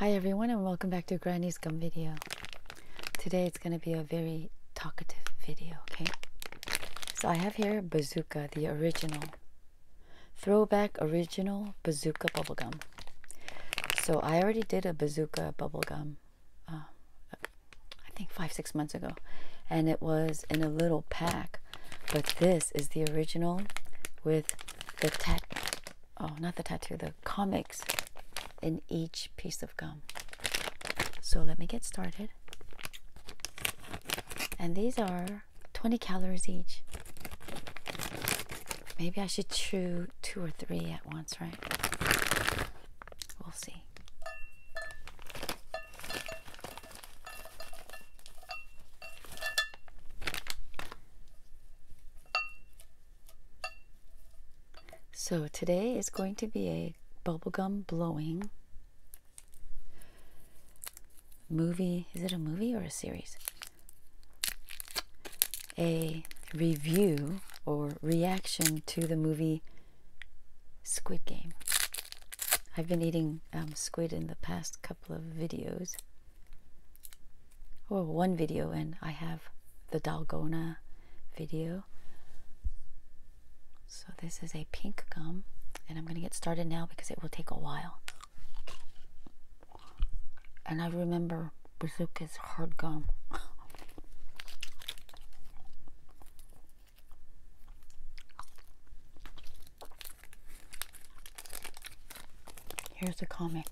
Hi everyone and welcome back to Granny's Gum Video. Today it's going to be a very talkative video, okay? So I have here Bazooka, the original. Throwback original Bazooka bubblegum. So I already did a Bazooka bubblegum, uh, I think five, six months ago. And it was in a little pack. But this is the original with the tat oh, not the tattoo, the comics in each piece of gum. So let me get started. And these are 20 calories each. Maybe I should chew two or three at once, right? We'll see. So today is going to be a bubblegum blowing movie. Is it a movie or a series? A review or reaction to the movie Squid Game. I've been eating um, squid in the past couple of videos or one video and I have the Dalgona video. So this is a pink gum and I'm going to get started now because it will take a while. And I remember Bazooka's hard gum. Here's a comic.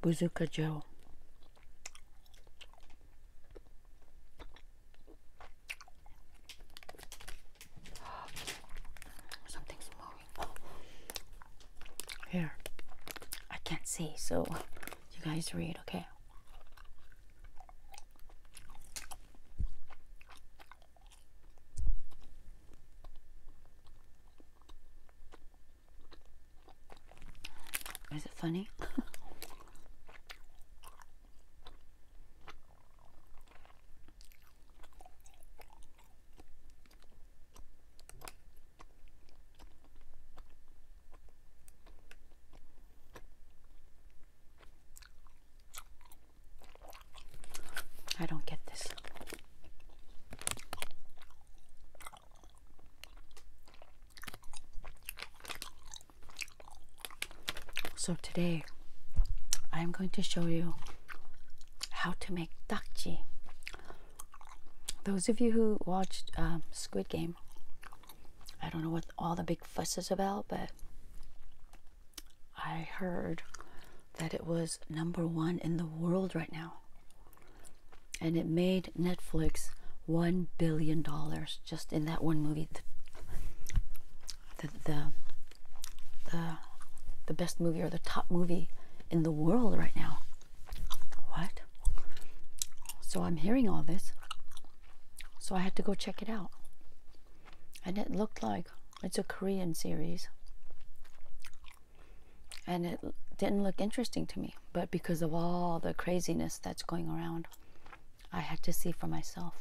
Bazooka Joe. Something's moving. Here. I can't see, so you guys read, okay? Is it funny? I don't get this. So today I'm going to show you how to make dakji. Those of you who watched um, Squid Game I don't know what all the big fuss is about, but I heard that it was number one in the world right now. And it made Netflix $1 billion just in that one movie. The, the, the, the best movie or the top movie in the world right now. What? So I'm hearing all this. So I had to go check it out. And it looked like it's a Korean series. And it didn't look interesting to me. But because of all the craziness that's going around, I had to see for myself.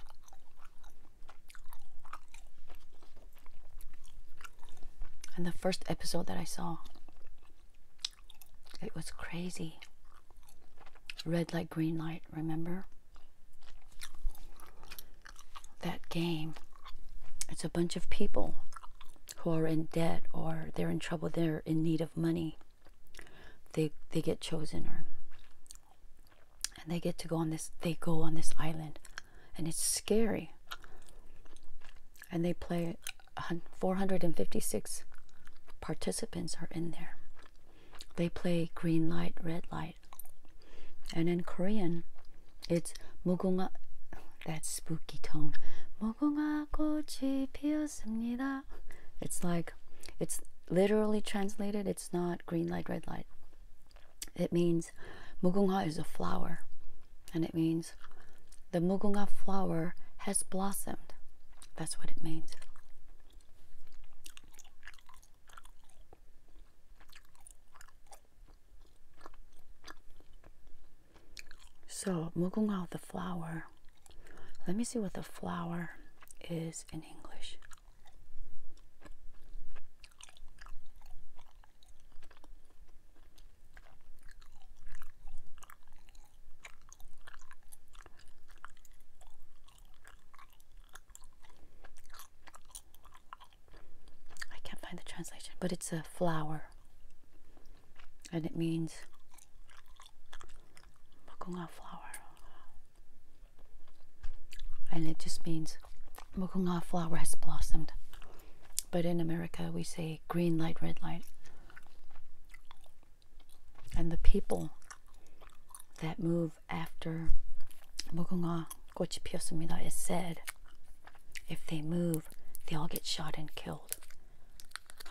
And the first episode that I saw, it was crazy. Red light, green light, remember? That game. It's a bunch of people who are in debt or they're in trouble, they're in need of money. They they get chosen or and they get to go on this they go on this island and it's scary. And they play 456 participants are in there they play green light, red light. And in Korean, it's 무궁화 that spooky tone. 무궁화 꽃이 피었습니다. It's like it's literally translated, it's not green light, red light. It means mugunga is a flower, and it means the mugunga flower has blossomed. That's what it means. So, mugunga, the flower. Let me see what the flower is in English. I can't find the translation, but it's a flower and it means Mukunga flower. And it just means Mukunga flower has blossomed. But in America, we say green light, red light and the people that move after Mugunga Gochipiosumida is said, if they move, they all get shot and killed.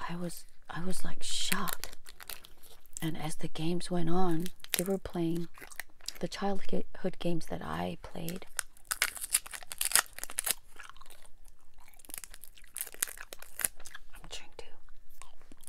I was I was like shocked. And as the games went on, they were playing the childhood games that I played. I'm trying to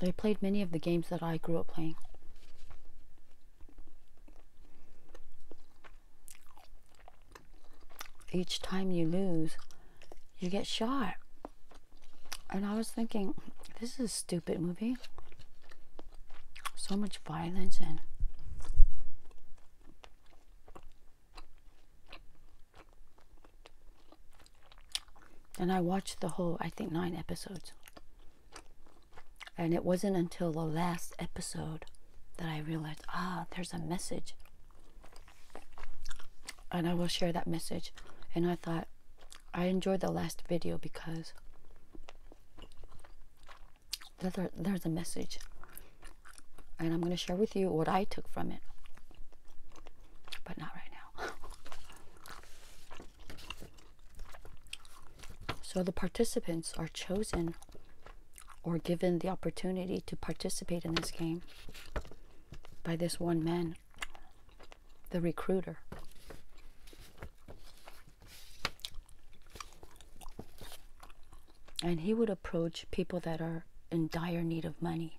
They played many of the games that I grew up playing. Each time you lose, you get shot. And I was thinking, this is a stupid movie. So much violence and. And I watched the whole, I think, nine episodes. And it wasn't until the last episode that I realized, ah, there's a message. And I will share that message. And I thought, I enjoyed the last video because there, there's a message. And I'm going to share with you what I took from it. But not right now. so the participants are chosen or given the opportunity to participate in this game by this one man, the recruiter. And he would approach people that are in dire need of money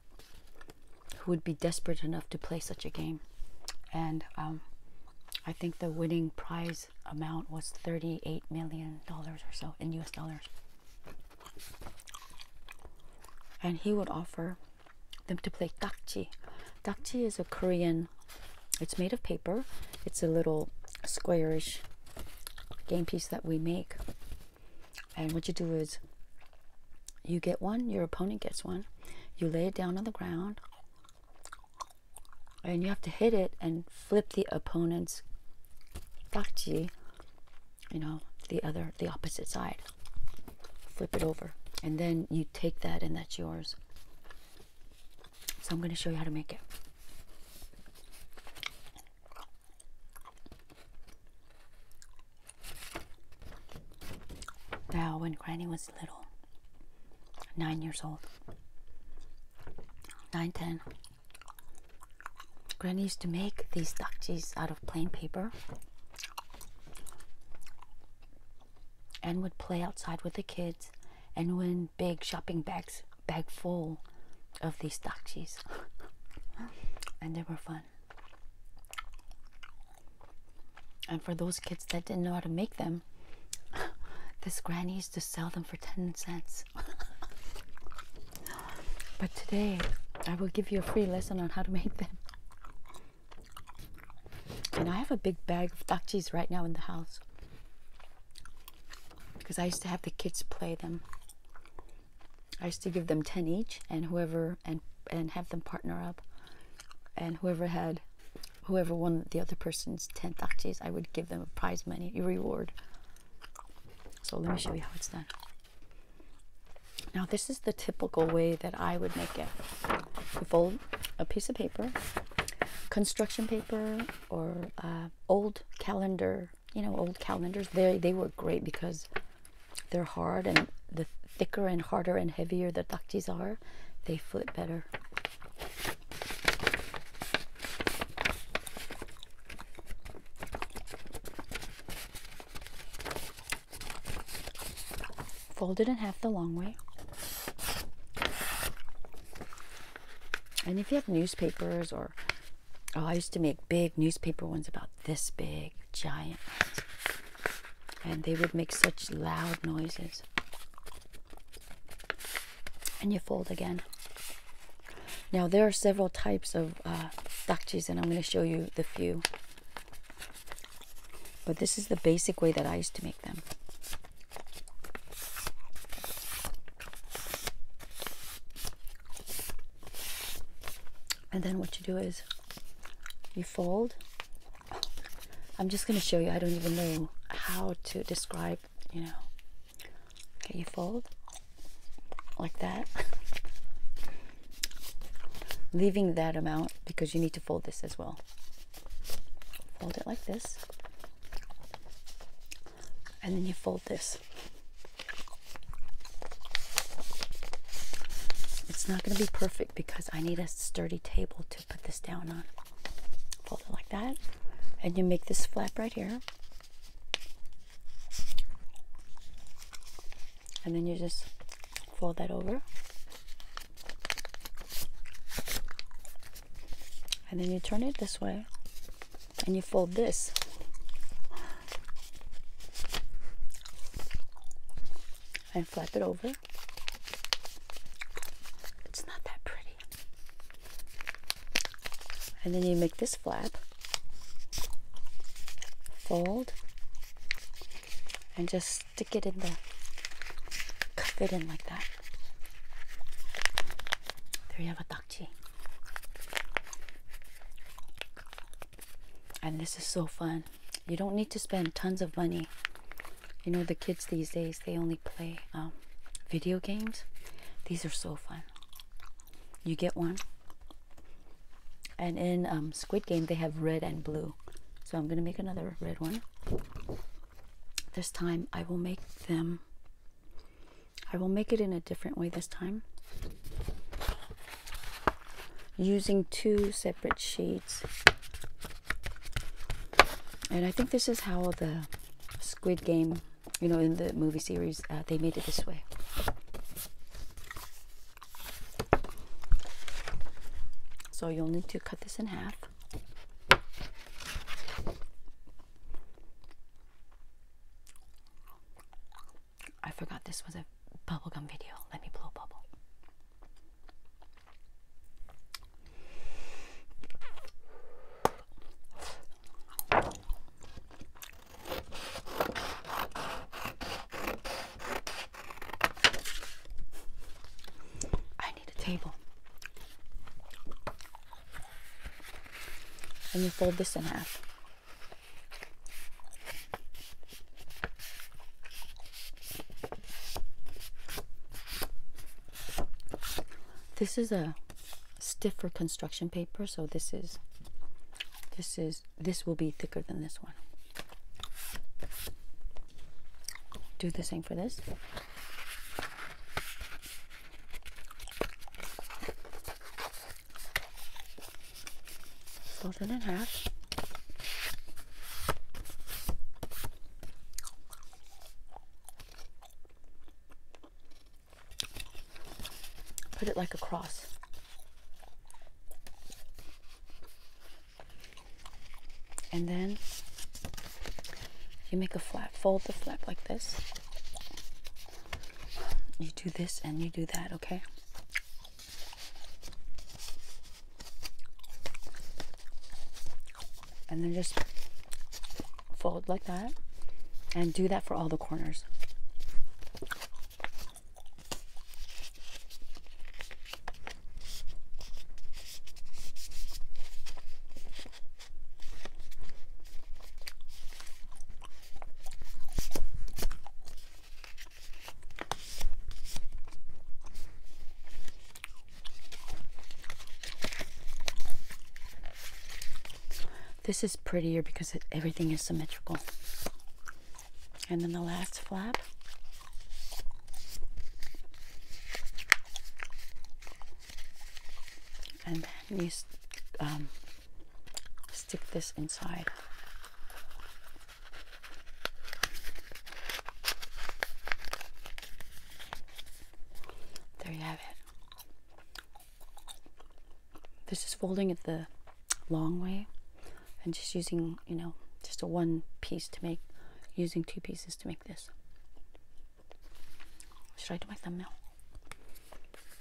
who would be desperate enough to play such a game. And um, I think the winning prize amount was $38 million or so in US dollars. And he would offer them to play dakji. Dakji is a Korean, it's made of paper, it's a little squarish game piece that we make and what you do is you get one, your opponent gets one, you lay it down on the ground, and you have to hit it and flip the opponent's dakji, you know, the other, the opposite side. Flip it over. And then you take that and that's yours. So I'm going to show you how to make it. Now, when Granny was little, nine years old, nine, ten, Granny used to make these dakjis out of plain paper and would play outside with the kids and win big shopping bags, bag full of these dakjis. and they were fun. And for those kids that didn't know how to make them, this granny used to sell them for 10 cents. but today, I will give you a free lesson on how to make them. And I have a big bag of dakchis right now in the house. Because I used to have the kids play them. I used to give them 10 each and whoever and and have them partner up and whoever had whoever won the other person's 10 takjis, I would give them a prize money a reward. So let me show you how it's done. Now this is the typical way that I would make it. You fold a piece of paper, construction paper or uh, old calendar, you know, old calendars. They, they were great because they're hard and the thicker and harder and heavier the takjis are, they flip better. Fold it in half the long way. And if you have newspapers or Oh, I used to make big newspaper ones about this big, giant And they would make such loud noises. And you fold again. Now, there are several types of uh, dachis, and I'm going to show you the few. But this is the basic way that I used to make them and then what you do is you fold i'm just going to show you i don't even know how to describe you know you fold like that leaving that amount because you need to fold this as well fold it like this and then you fold this it's not going to be perfect because I need a sturdy table to put this down on. Fold it like that. And you make this flap right here. And then you just fold that over. And then you turn it this way. And you fold this and flap it over. It's not that pretty. And then you make this flap, fold, and just stick it in there. cup it in like that. There you have a dakji and this is so fun you don't need to spend tons of money you know the kids these days they only play um, video games these are so fun you get one and in um, squid game they have red and blue so i'm gonna make another red one this time i will make them i will make it in a different way this time. Using two separate sheets. And I think this is how the Squid Game, you know, in the movie series, uh, they made it this way. So you'll need to cut this in half. I forgot this was a bubblegum video. Let me blow a bubble. I need a table. And you fold this in half. This is a stiffer construction paper, so this is this is this will be thicker than this one. Do the same for this fold it in half. Put it like a cross. And then you make a flap, fold the flap like this. You do this and you do that, okay? And then just fold like that and do that for all the corners. This is prettier because everything is symmetrical. And then the last flap. And let me um, stick this inside. There you have it. This is folding at the long way and just using, you know, just a one piece to make, using two pieces to make this. Should I do my thumbnail?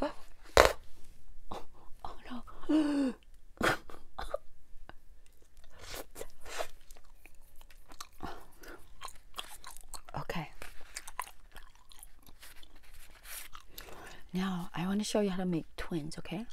oh, no. okay. Now I want to show you how to make twins, okay?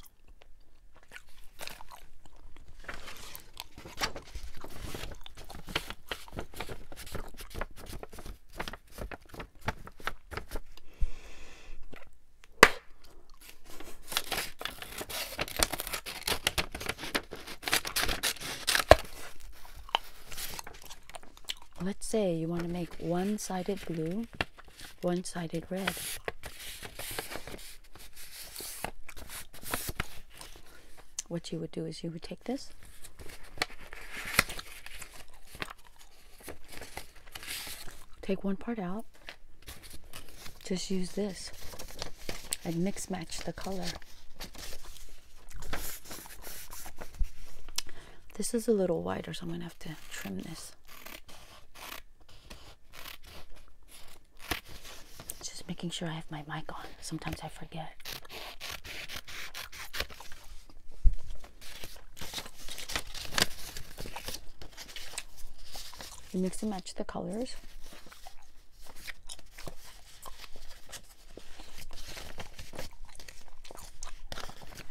Let's say you want to make one sided glue one-sided red. What you would do is you would take this take one part out just use this and mix match the color this is a little wider so I'm gonna have to trim this just making sure I have my mic on. Sometimes I forget. You mix and match the colors.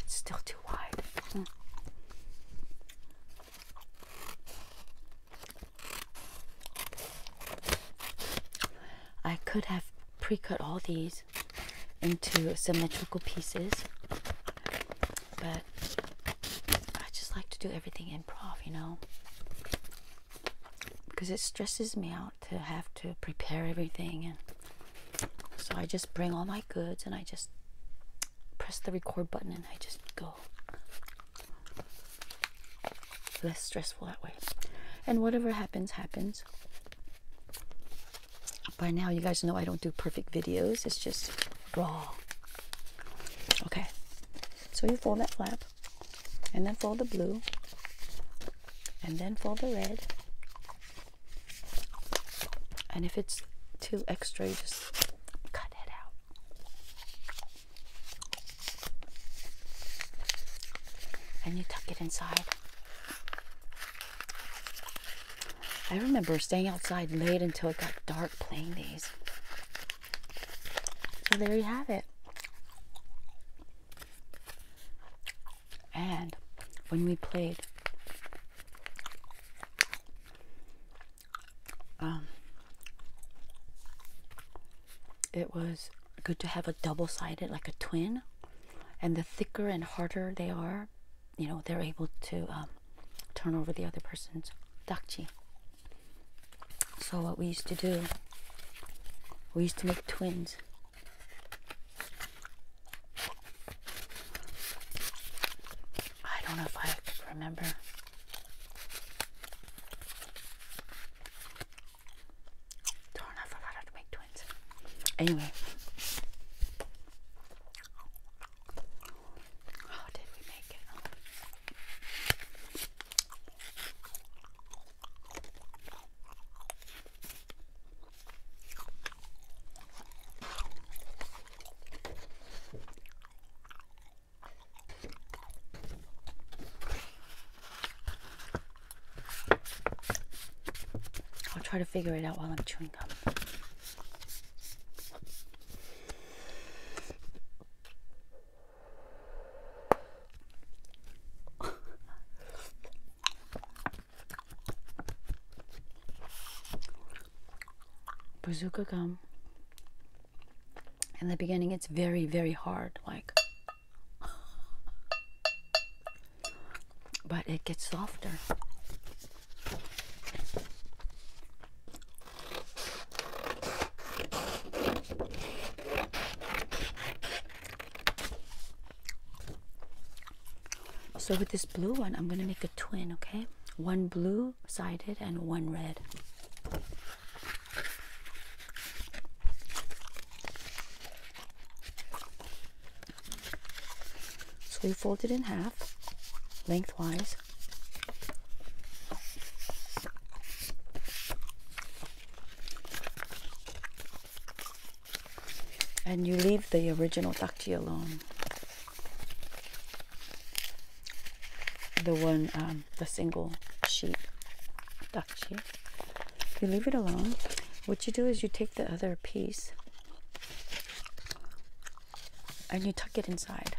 It's still too wide. Hmm. I could have pre-cut all these into symmetrical pieces, but I just like to do everything improv, you know, because it stresses me out to have to prepare everything, and so I just bring all my goods and I just press the record button and I just go. Less stressful that way. And whatever happens, happens. By now, you guys know I don't do perfect videos, it's just raw. Okay, so you fold that flap, and then fold the blue, and then fold the red, and if it's too extra, just cut it out. And you tuck it inside. I remember staying outside late until it got dark playing these. So there you have it. And when we played um, it was good to have a double sided, like a twin. And the thicker and harder they are, you know, they're able to um, turn over the other person's dakji. So, what we used to do, we used to make twins. I don't know if I could remember. Darn, I forgot to make twins. Anyway. How did we make it? I'll try to figure it out while I'm chewing gum. Bazooka gum. In the beginning, it's very, very hard, like, but it gets softer. So with this blue one, I'm going to make a twin, okay? One blue sided and one red. So you fold it in half, lengthwise and you leave the original takji alone. The one, um, the single sheet takji. You leave it alone. What you do is you take the other piece and you tuck it inside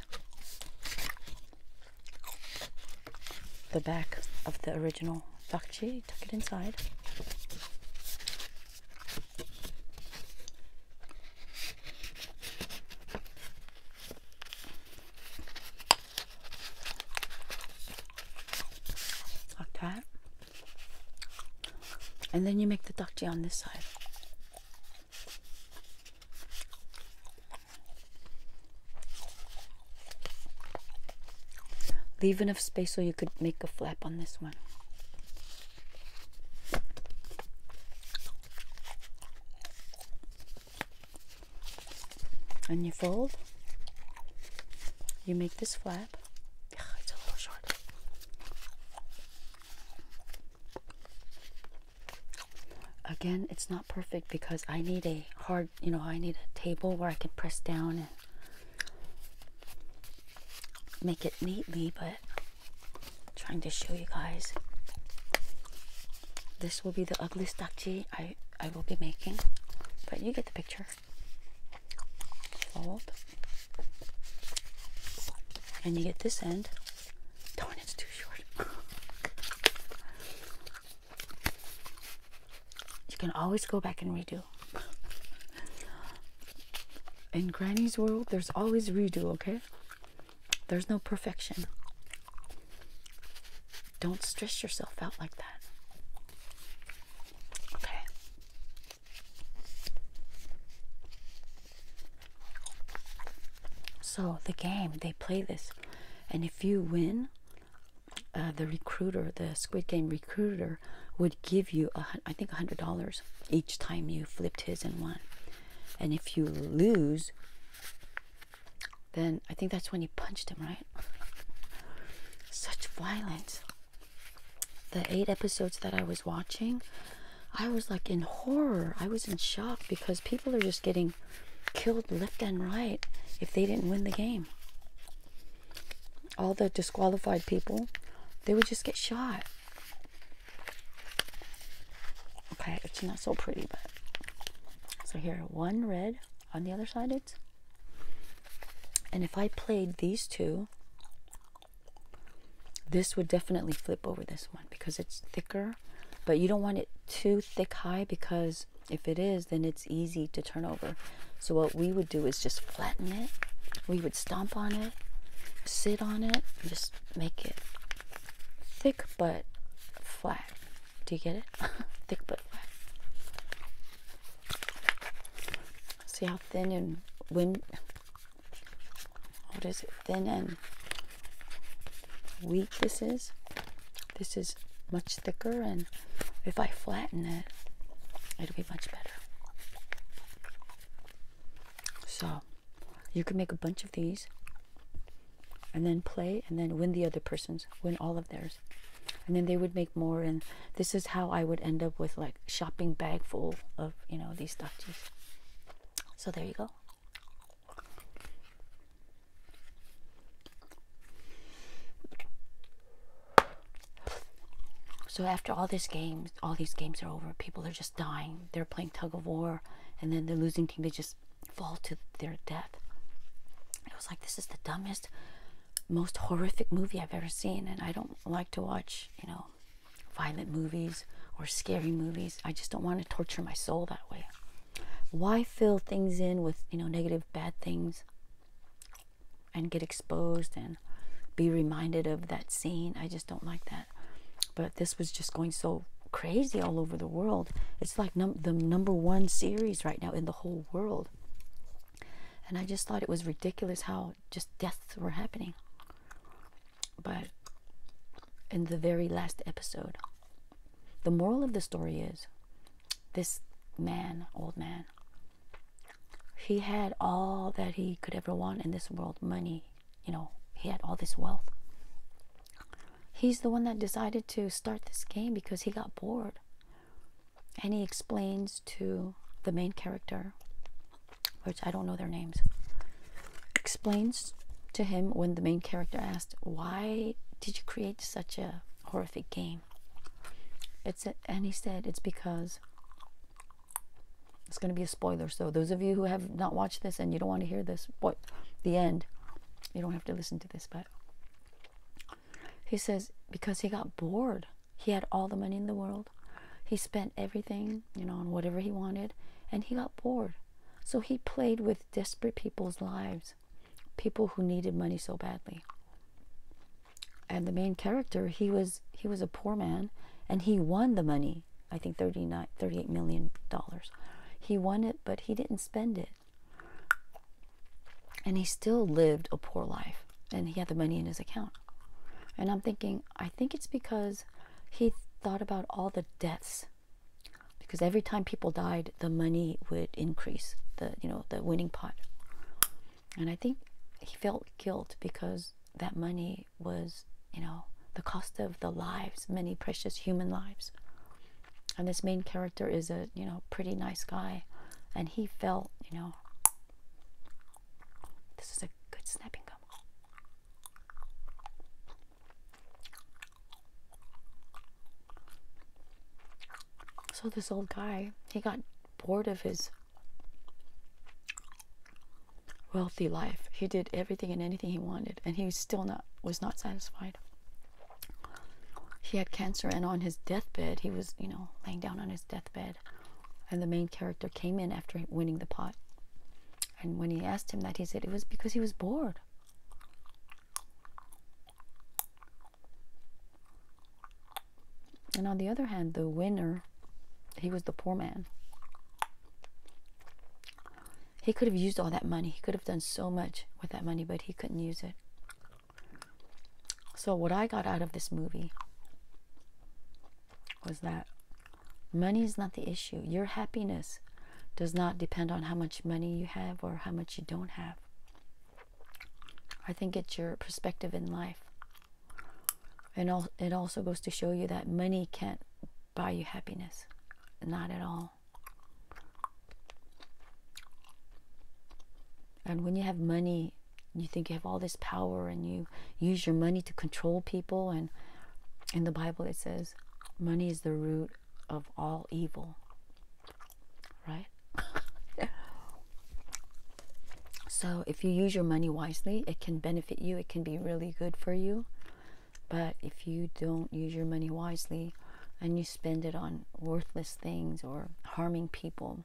the back of the original takji. Tuck it inside like that and then you make the ducty on this side leave enough space so you could make a flap on this one and you fold you make this flap it's a little short again it's not perfect because I need a hard you know I need a table where I can press down and make it neatly, but trying to show you guys. This will be the ugliest dakji I, I will be making, but you get the picture. Fold. And you get this end. Darn, it's too short. you can always go back and redo in Granny's world, there's always redo, okay? There's no perfection. Don't stress yourself out like that. Okay. So, the game, they play this. And if you win, uh, the recruiter, the Squid Game recruiter, would give you a, I think $100 each time you flipped his and won. And if you lose, then I think that's when he punched him, right? Such violence. The eight episodes that I was watching, I was like in horror. I was in shock because people are just getting killed left and right if they didn't win the game all the disqualified people, they would just get shot. Okay, it's not so pretty, but so here one red on the other side it's and if I played these two this would definitely flip over this one because it's thicker but you don't want it too thick high because if it is then it's easy to turn over so what we would do is just flatten it. We would stomp on it, sit on it, just make it thick but flat. Do you get it? thick but flat. See how thin and wind what is it? Thin and weak this is. This is much thicker and if I flatten it, it'll be much better. So you can make a bunch of these and then play and then win the other person's, win all of theirs. And then they would make more and this is how I would end up with like shopping bag full of, you know, these statues. So there you go. So after all these games, all these games are over. People are just dying. They're playing tug of war, and then the losing team they just fall to their death. It was like this is the dumbest, most horrific movie I've ever seen, and I don't like to watch, you know, violent movies or scary movies. I just don't want to torture my soul that way. Why fill things in with, you know, negative bad things? and get exposed and be reminded of that scene. I just don't like that. But this was just going so crazy all over the world. It's like the number one series right now in the whole world. And I just thought it was ridiculous how just deaths were happening. But in the very last episode, the moral of the story is this man, old man, he had all that he could ever want in this world money you know he had all this wealth he's the one that decided to start this game because he got bored and he explains to the main character which i don't know their names explains to him when the main character asked why did you create such a horrific game it's a, and he said it's because it's going to be a spoiler. So those of you who have not watched this and you don't want to hear this, boy, the end, you don't have to listen to this. But he says because he got bored. He had all the money in the world. He spent everything, you know, on whatever he wanted, and he got bored. So he played with desperate people's lives, people who needed money so badly and the main character he was he was a poor man and he won the money i think thirty nine, thirty eight million dollars he won it but he didn't spend it and he still lived a poor life and he had the money in his account and i'm thinking i think it's because he thought about all the deaths because every time people died the money would increase the you know the winning pot and I think he felt guilt because that money was, you know, the cost of the lives, many precious human lives. And this main character is a, you know, pretty nice guy. And he felt, you know, this is a good snapping gum. So this old guy, he got bored of his wealthy life. He did everything and anything he wanted, and he still not was not satisfied. He had cancer, and on his deathbed, he was you know laying down on his deathbed, and the main character came in after winning the pot, and when he asked him that, he said it was because he was bored. And on the other hand, the winner, he was the poor man. He could have used all that money. He could have done so much with that money, but he couldn't use it. So, what I got out of this movie was that money is not the issue. Your happiness does not depend on how much money you have or how much you don't have. I think it's your perspective in life. And it also goes to show you that money can't buy you happiness. Not at all. And when you have money, you think you have all this power and you use your money to control people. And in the Bible, it says money is the root of all evil right? so if you use your money wisely, it can benefit you. It can be really good for you. But if you don't use your money wisely and you spend it on worthless things or harming people,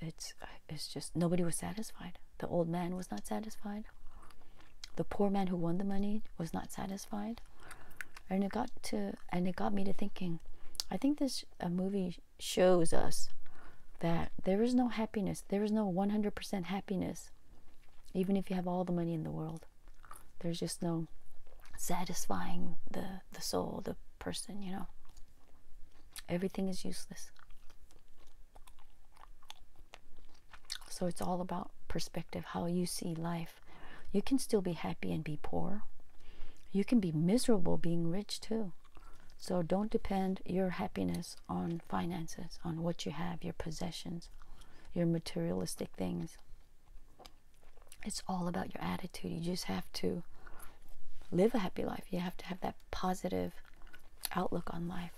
it's it's just nobody was satisfied. The old man was not satisfied. The poor man who won the money was not satisfied. And it got to and it got me to thinking, I think this a movie shows us that there is no happiness, there is no 100% happiness, even if you have all the money in the world. There's just no satisfying the, the soul, the person, you know. Everything is useless. So it's all about perspective, how you see life. You can still be happy and be poor. You can be miserable being rich too. So don't depend your happiness on finances, on what you have, your possessions, your materialistic things. It's all about your attitude. You just have to live a happy life. You have to have that positive outlook on life.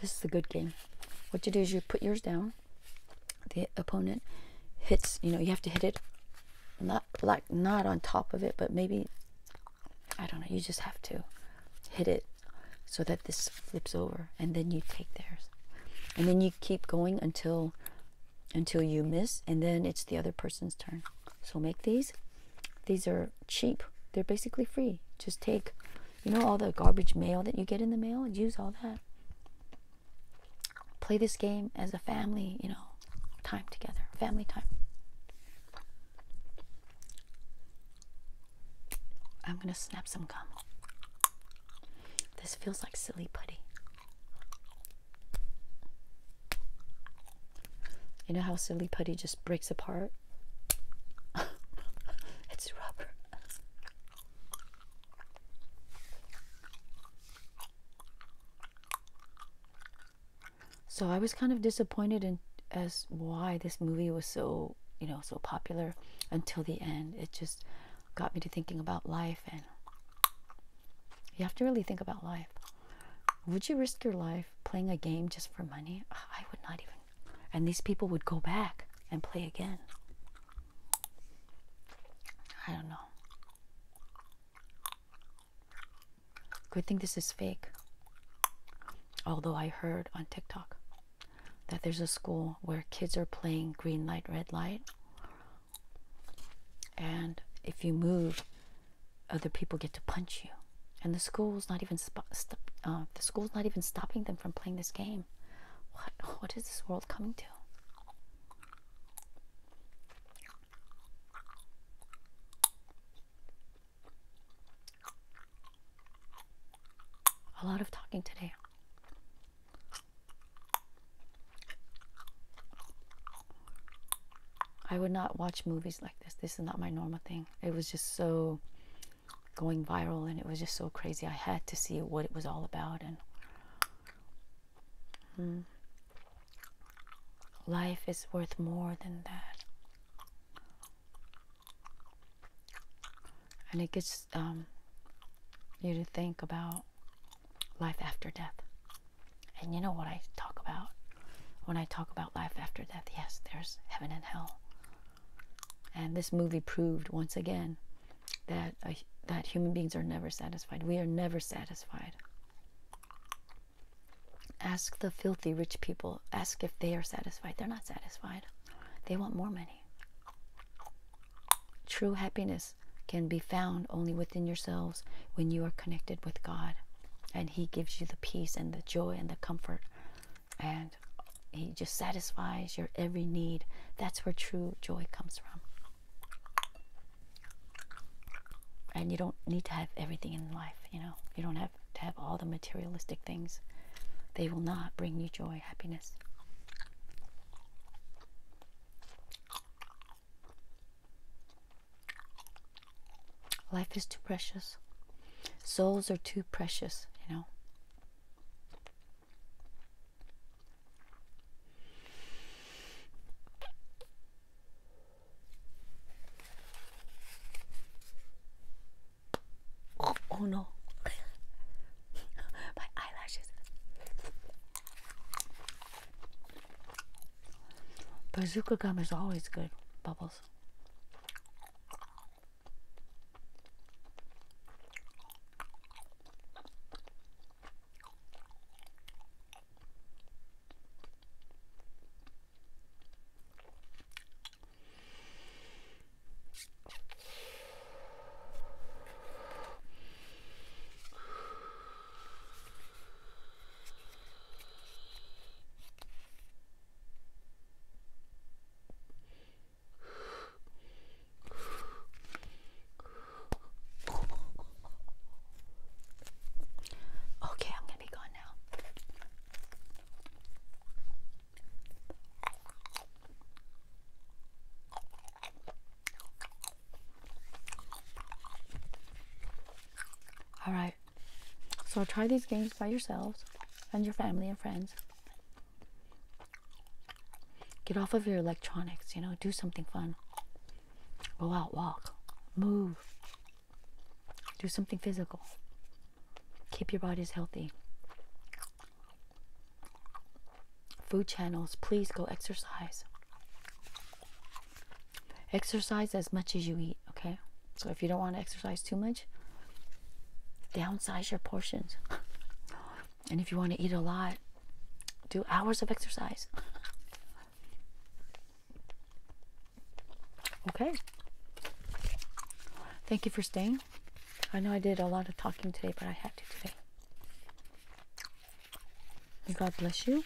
This is a good game. What you do is you put yours down. The opponent hits, you know, you have to hit it not like not on top of it, but maybe I don't know, you just have to hit it so that this flips over and then you take theirs. And then you keep going until until you miss and then it's the other person's turn so make these these are cheap they're basically free just take you know all the garbage mail that you get in the mail and use all that play this game as a family you know time together family time i'm gonna snap some gum this feels like silly putty you know how silly putty just breaks apart? it's rubber. So I was kind of disappointed in as why this movie was so, you know, so popular until the end. It just got me to thinking about life and you have to really think about life. Would you risk your life playing a game just for money? Ah, I would not even. And these people would go back and play again. I don't know. Could think this is fake. Although I heard on TikTok that there's a school where kids are playing green light, red light, and if you move, other people get to punch you. And the school's not even uh, the school's not even stopping them from playing this game. What what is this world coming to? A lot of talking today. I would not watch movies like this. This is not my normal thing. It was just so going viral and it was just so crazy. I had to see what it was all about and hmm. life is worth more than that. And it gets um, you to think about life after death. And you know what I talk about when I talk about life after death? Yes, there's heaven and hell. And this movie proved once again that uh, that human beings are never satisfied. We are never satisfied. Ask the filthy rich people, ask if they are satisfied. They're not satisfied. They want more money. True happiness can be found only within yourselves when you are connected with God. And He gives you the peace and the joy and the comfort. And He just satisfies your every need. That's where true joy comes from. And you don't need to have everything in life, you know. You don't have to have all the materialistic things. They will not bring you joy, happiness. Life is too precious. Souls are too precious, you know. Oh, oh no. My eyelashes. Bazooka gum is always good. Bubbles. Okay, I'm going to be gone now. All right. So try these games by yourselves and your family and friends. Get off of your electronics, you know, do something fun. Go out, walk, move. Do something physical. Keep your bodies healthy food channels, please go exercise. Exercise as much as you eat, okay? So if you don't want to exercise too much, downsize your portions. and if you want to eat a lot, do hours of exercise. okay. Thank you for staying. I know I did a lot of talking today, but I had to today. God bless you.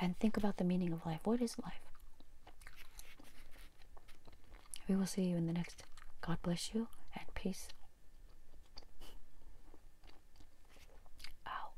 And think about the meaning of life. What is life? We will see you in the next. God bless you and peace. Ow.